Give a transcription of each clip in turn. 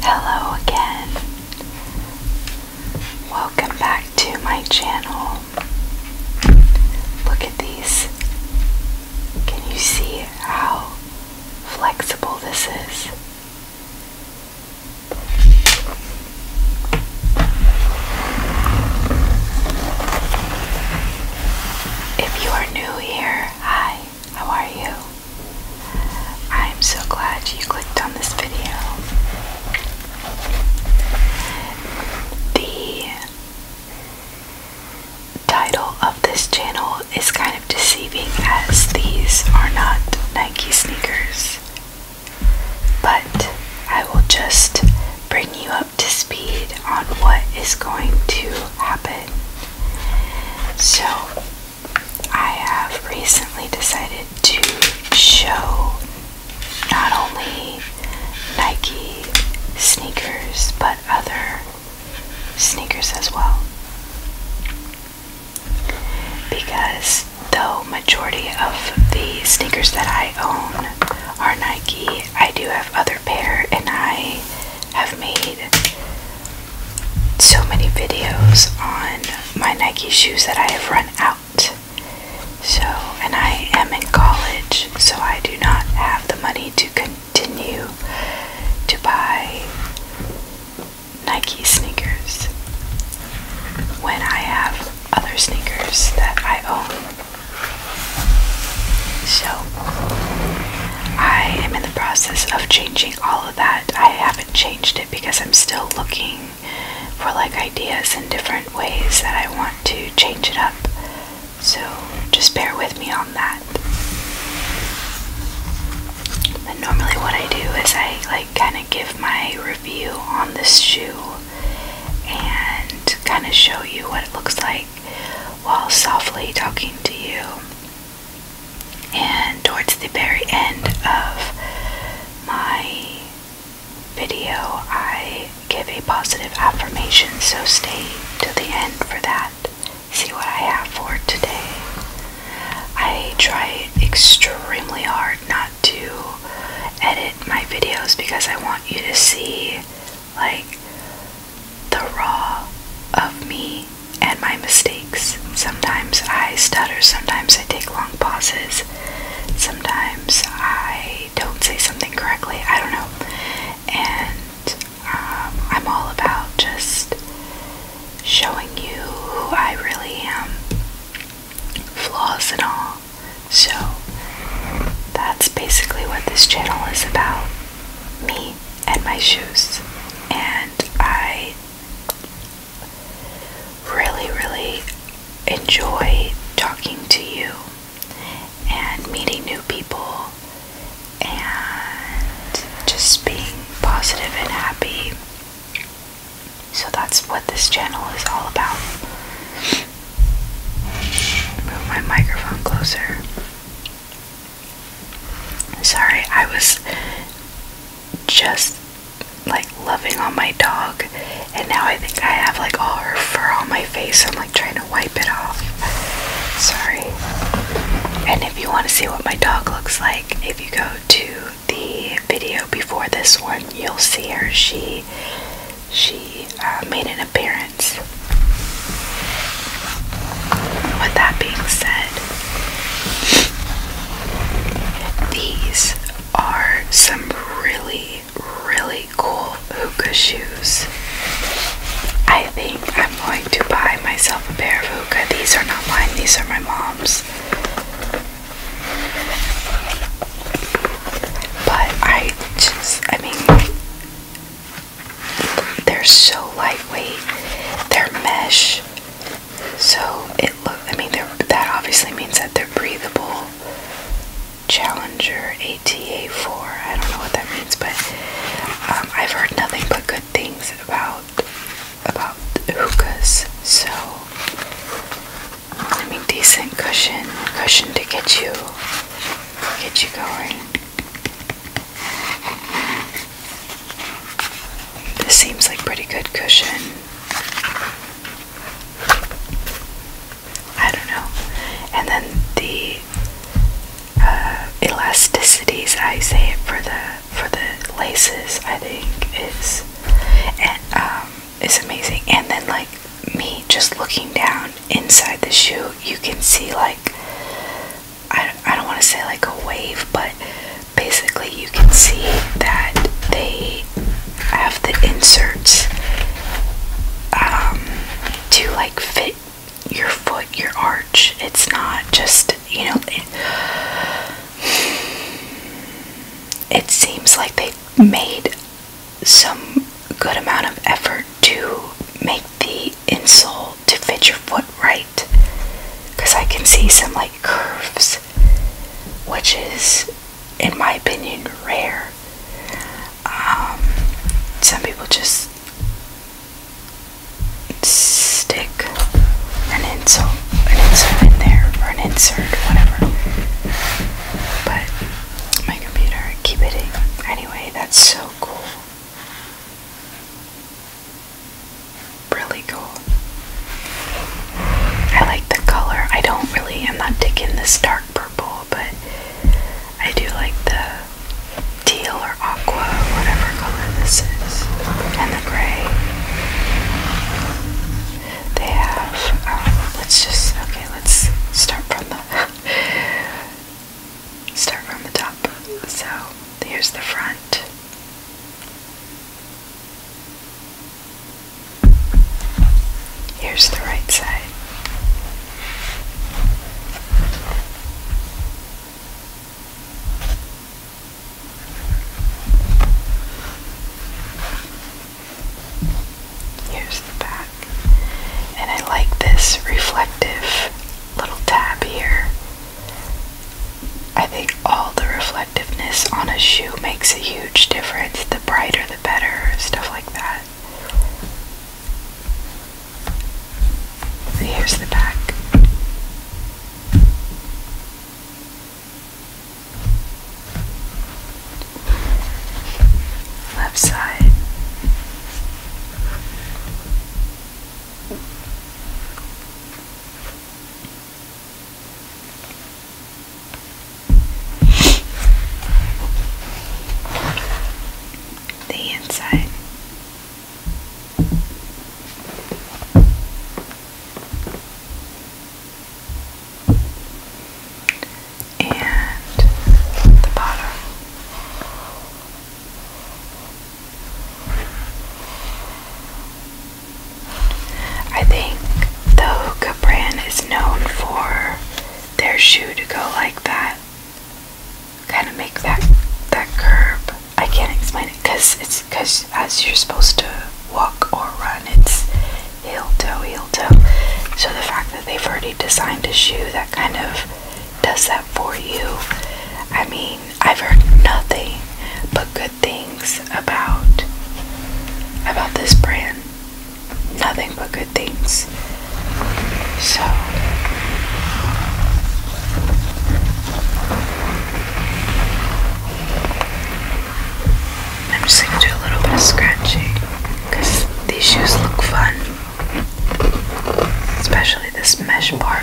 Hello again. Welcome back to my channel. Look at these. Can you see how flexible this is? If you are new here, hi, how are you? I'm so glad you clicked on this video. The title of this channel is kind of deceiving as these are not Nike sneakers. But I will just bring you up to speed on what is going to happen. So, I have recently decided to show not only Nike sneakers, but other sneakers as well. Because though majority of the sneakers that I own are Nike, I do have other pair and I have made so many videos on my Nike shoes that I have run out. So, and I am in college, so I do not have the money to continue to buy Nike sneakers when I have other sneakers that I own. So, I am in the process of changing all of that. I haven't changed it because I'm still looking for like ideas and different ways that I want to change it up. So just bear with me on that. But normally, what I do is I like kind of give my review on this shoe and kind of show you what it looks like while softly talking to you. And towards the very end of my video, I Give a positive affirmation, so stay to the end for that. See what I have for today. I try extremely hard not to edit my videos because I want you to see, like, the raw of me and my mistakes. Sometimes I stutter, sometimes I take long pauses, sometimes I don't say something correctly. I don't know. And um, I'm all about just showing you who I really am, flaws and all. So that's basically what this channel is about me and my shoes. And I really, really enjoy talking to you and meeting new people and just being positive and happy. So that's what this channel is all about. Move my microphone closer. Sorry, I was just like loving on my dog, and now I think I have like all her fur on my face. I'm trying to wipe it off. Sorry. And if you want to see what my dog looks like, if you go to the video before this one, you'll see her. She she uh, made an appearance. With that being said, these are some really really, cool hookah shoes. I think I'm going to buy myself a pair of hookah. These are not mine, these are my mom's. But I just, I mean, they're so lightweight, they're mesh, so it looks. I mean, that obviously means that they're breathable. Challenger ATA4. I don't know what that means, but um, I've heard nothing but good things about about hookahs. So, I mean, decent cushion, cushion to get you get you going. This seems like pretty good cushion. I don't know. And then the uh, elasticities, I say for the for the laces, I think is um, is amazing. And then like me just looking down inside the shoe, you can see like I I don't want to say like a wave, but basically you can see that they have the inserts um, to like fit your foot, your arch. It's not just, you know, it, seems like they made some good amount of effort to make the insole to fit your foot right because I can see some like curves, which is, in my opinion, rare. Um, some people just stick an insult, an insert in there, or an insert, whatever. But my computer, keep hitting. Anyway, that's so cool. Really cool. I like the color. I don't really, am not digging this dark purple, but I do like the teal or aqua, whatever color this is, and the gray. They have, um, let's just, okay, let's start from the, start from the top. So, here's the front. Here's the right side. Here's the back. And I like this reflective little tab here. I think all the reflectiveness on a shoe makes a huge difference. The brighter, the better, stuff like that here's the back. Left side the inside. And the bottom. I think the hookah brand is known for their shoe to go like that kind of make that that curb. I can't explain it because it's because as you're supposed to walk or run, it's heel toe heel toe. So the fact that they've already designed a shoe that kind of does that for you. I mean, I've heard nothing but good things about about this brand nothing but good things. So I'm just gonna do a little bit of scratching because these shoes look fun, especially this mesh part.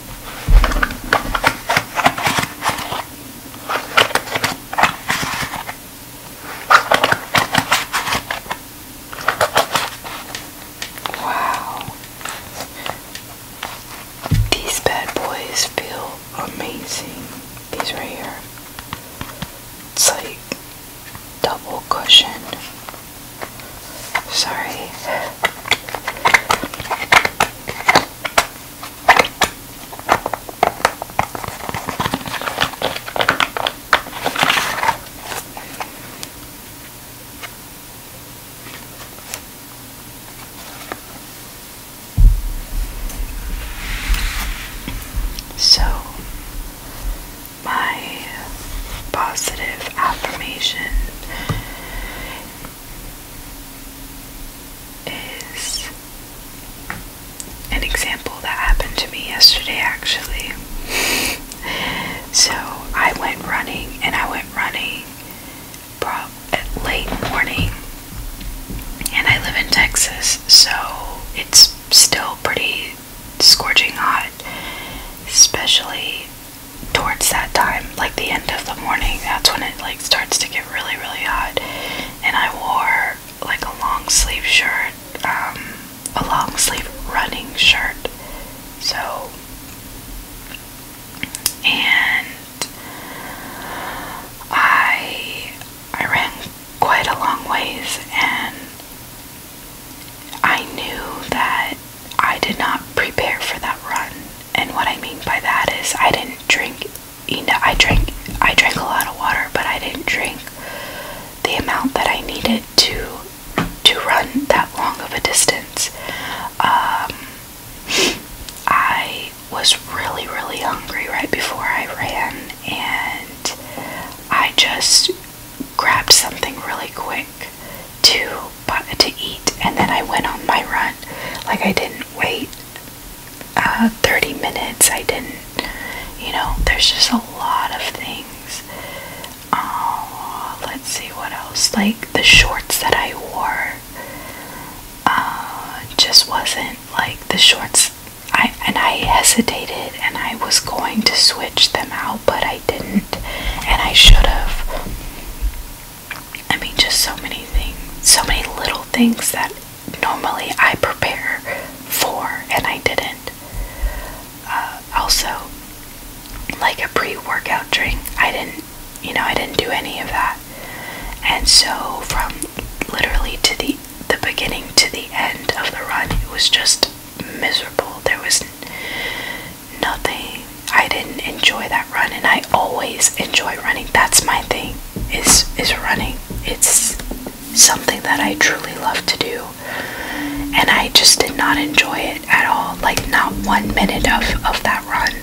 Wow. These bad boys feel amazing. These right here. It's like double cushion. Sorry. So, my positive affirmation is an example that happened to me yesterday actually. so I went running and I went running prob at late morning and I live in Texas so it's still pretty scorching hot especially towards that time, like the end of the morning, that's when it like starts to get really, really hot. And I wore like a long sleeve shirt, um, a long sleeve running shirt. So, and I I ran quite a long ways, and I knew that I did not prepare for that run. And what I mean by that is I didn't drink you know I drank I drank a lot of water, but I didn't drink the amount that I needed to to run that long of a distance. Um, I was really, really hungry right before I ran, and I just grabbed something really quick to to eat, and then I went on my run. Like I didn't wait uh, 30 minutes. I didn't. You know, there's just a lot of things. Uh, let's see what else. Like the shorts that I wore uh, just wasn't like the shorts. I and I hesitated, and I was going to switch them out, but I didn't, and I should have. I mean, just so many things, so many little things that normally I prepare for and I didn't. Uh, also, like a pre workout drink, I didn't, you know, I didn't do any of that. And so, from literally to the the beginning to the end of the run, it was just miserable. There was nothing. I didn't enjoy that run, and I always enjoy running. That's my thing. Is is running. It's something that I truly love to do, and I just did not enjoy it at all. Like not one minute of of that run.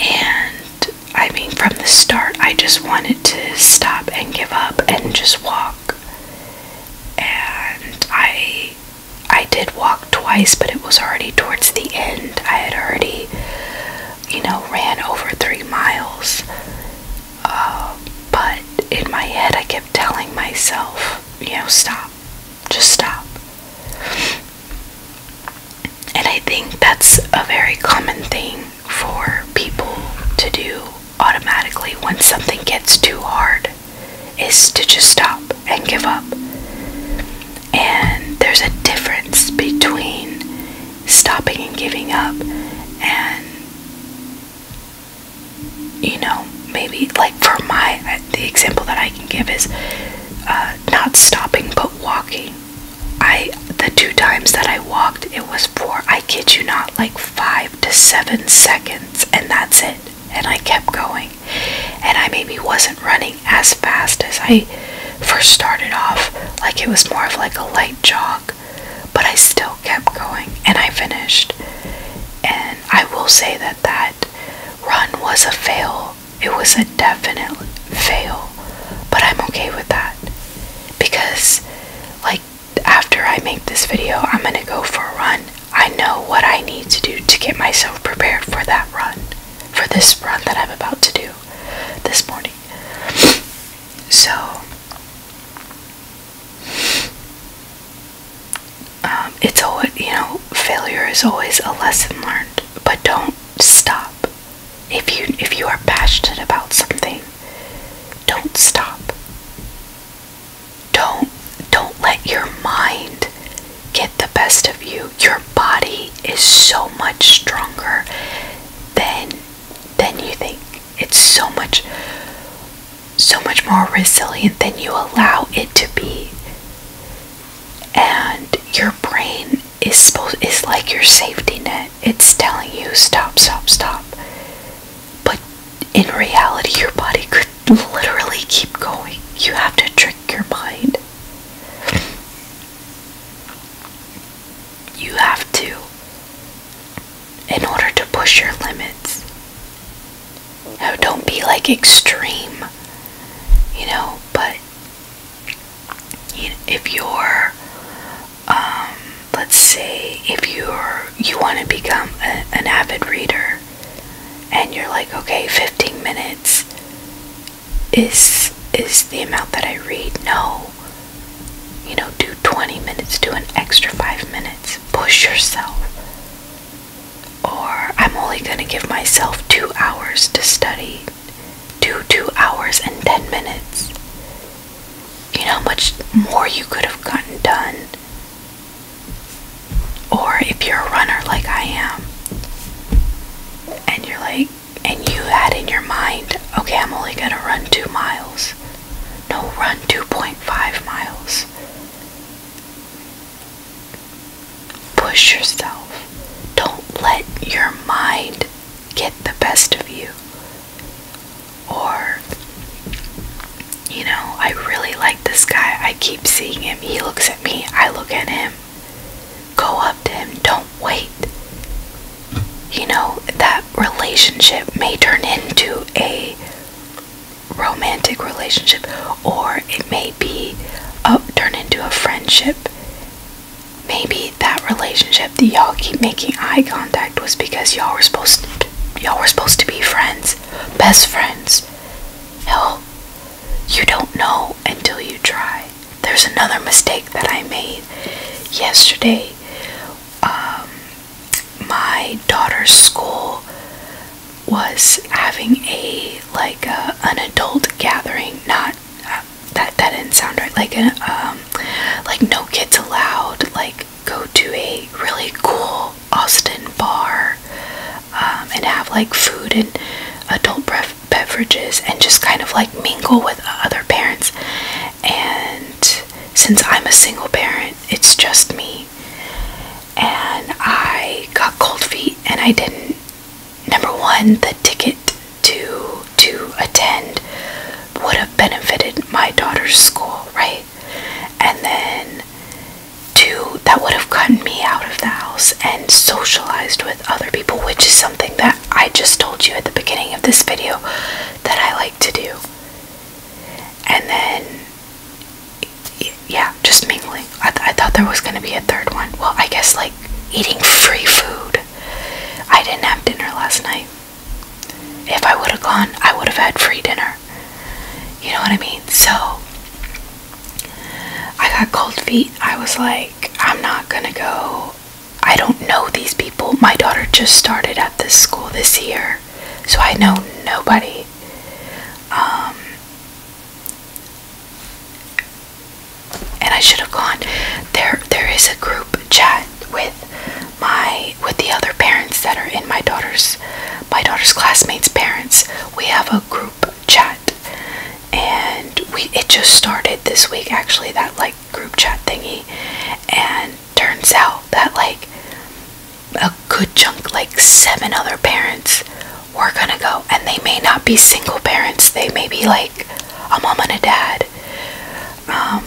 And I mean, from the start, I just wanted to stop and give up and just walk. And I I did walk twice, but it was already towards the end. I had already, you know, ran over three miles. Uh, but in my head, I kept telling myself, you know, stop, just stop. And I think that's a very common thing for people to do automatically when something gets too hard is to just stop and give up. And there's a difference between stopping and giving up and you know maybe like for my the example that i can give is uh, not stopping but walking i the two times that i walked it was for i kid you not like five to seven seconds and that's it and i kept going and I maybe wasn't running as fast as I first started off, like it was more of like a light jog, but I still kept going and I finished. And I will say that that run was a fail. It was a definite fail, but I'm okay with that because, like, after I make this video, I'm gonna go for a run I know what I need to do to get myself prepared for that run, for this run that I'm about to do this morning. So, um, it's always, you know, failure is always a lesson learned, but don't stop. If you if you are passionate about something, don't stop. Don't don't let your mind get the best of you. Your body is so much stronger than than you think. It's so much so much more resilient than you allow it to be. And your brain is supposed is like your safety net. It's telling you stop, stop, stop. But in reality your body could literally keep going. You have to trick your mind. You have to, in order to push your limits. Now, don't be like extreme, you know, but if you're, um, let's say, if you're, you want to become an avid reader, and you're like okay 15 minutes is is the amount that I read no you know do 20 minutes do an extra 5 minutes push yourself or I'm only going to give myself 2 hours to study do 2 hours and 10 minutes you know how much more you could have gotten done or if you're a runner like I am, and you're like, and you had in your mind, okay, I'm only gonna run two miles. No, run 2.5 miles. Push yourself. Don't let your mind get the best of you. Or, you know, I really like this guy. I keep seeing him. He looks me, I look at him. Go up to him, don't wait. You know, that relationship may turn into a romantic relationship or it may be up turn into a friendship. Maybe that relationship that y'all keep making eye contact was because y'all were supposed to y'all were supposed to be friends, best friends. No. You don't know until you try. There's another mistake that I made yesterday. Um, my daughter's school was having a like a, an adult gathering, not uh, that that didn't sound right. Like a um, like no kids allowed. Like go to a really cool Austin bar um, and have like food and adult beverages and just kind of like mingle with other parents. And since I'm a single parent, it's just me. And I got cold feet, and I didn't. Number one, the ticket to to attend would have benefited my daughter's school, right? And then to that would have gotten me out of the house and socialized with other people, which is something that I just told you at the beginning of this video that I like to do. And then yeah, just mingling. I, I thought there was gonna be a third one. Well, I guess like eating free food. I didn't have dinner last night. If I would have gone, I would have had free dinner. You know what I mean? So, I got cold feet. I was like, I'm not gonna go. I don't know these people. My daughter just started at this school this year, so I know nobody. Um, and I should have gone. There, there is a group chat with my with the other parents that are in my daughter's my daughter's classmates' parents. We have a group chat and we it just started this week actually that like group chat thingy and turns out that like a good chunk like seven other parents were gonna go and they may not be single parents they may be like a mom and a dad um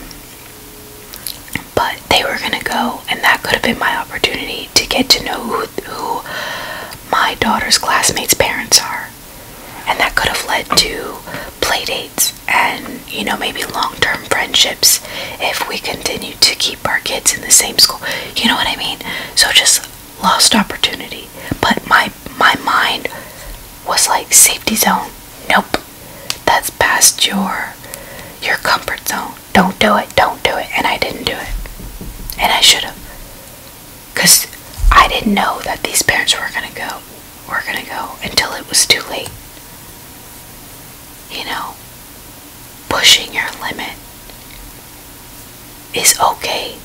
but they were gonna go and that could have been my opportunity to get to know who, who my daughter's classmates' parents are. And that could have led to playdates and, you know, maybe long term friendships if we continue to keep our kids in the same school. You know what I mean? So just lost opportunity. But my my mind was like safety zone. Nope. That's past your your comfort zone. Don't do it. Don't do it. And I didn't do it. And I should have. Cause I didn't know that these parents were gonna go were gonna go until it was too late. You know, pushing your limit is okay.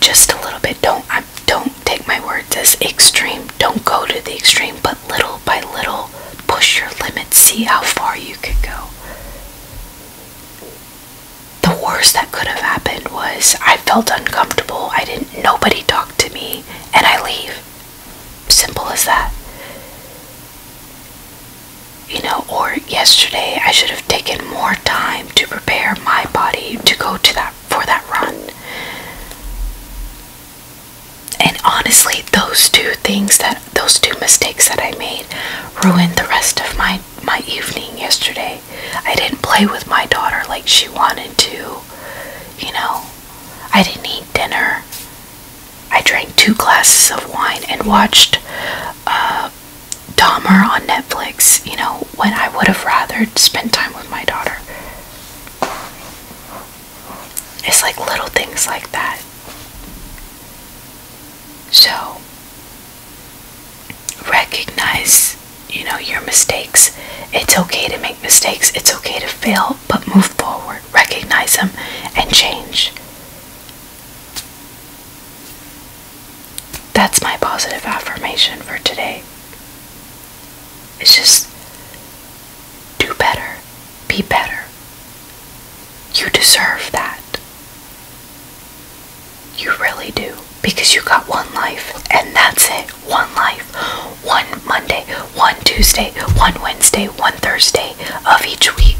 Just a little bit. Don't don't take my words as extreme. Don't go to the extreme, but little by little push your limits. See how far you can go the worst that could have happened was I felt uncomfortable. I didn't, nobody talked to me, and I leave. Simple as that. You know, or yesterday I should have taken more time to prepare my body to go to that for that run. And honestly, those two things that those two mistakes that I made ruined the rest of my my evening yesterday. I didn't play with my daughter like she wanted to. You know, I didn't eat dinner. I drank two glasses of wine and watched uh, Dahmer on Netflix, you know, when I would have rather spent time with my daughter. It's like little things like that. So recognize, you know, your mistakes. It's okay to make mistakes. It's okay to fail, but move forward. Recognize them and change. That's my positive affirmation for today. It's just do better, be better, you deserve that. You really do. Because you got one life, and that's it. One life. One Monday, one Tuesday, one Wednesday, one Thursday of each week.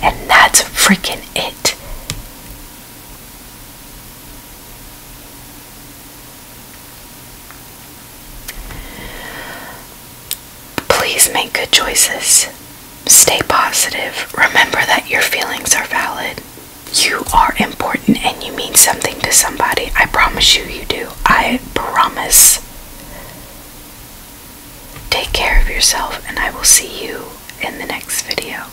And that's freaking it. Please make good choices. Stay positive. Remember that your feelings are valid. You are important and you mean something to somebody. I promise you, you do. I promise. Take care of yourself, and I will see you in the next video.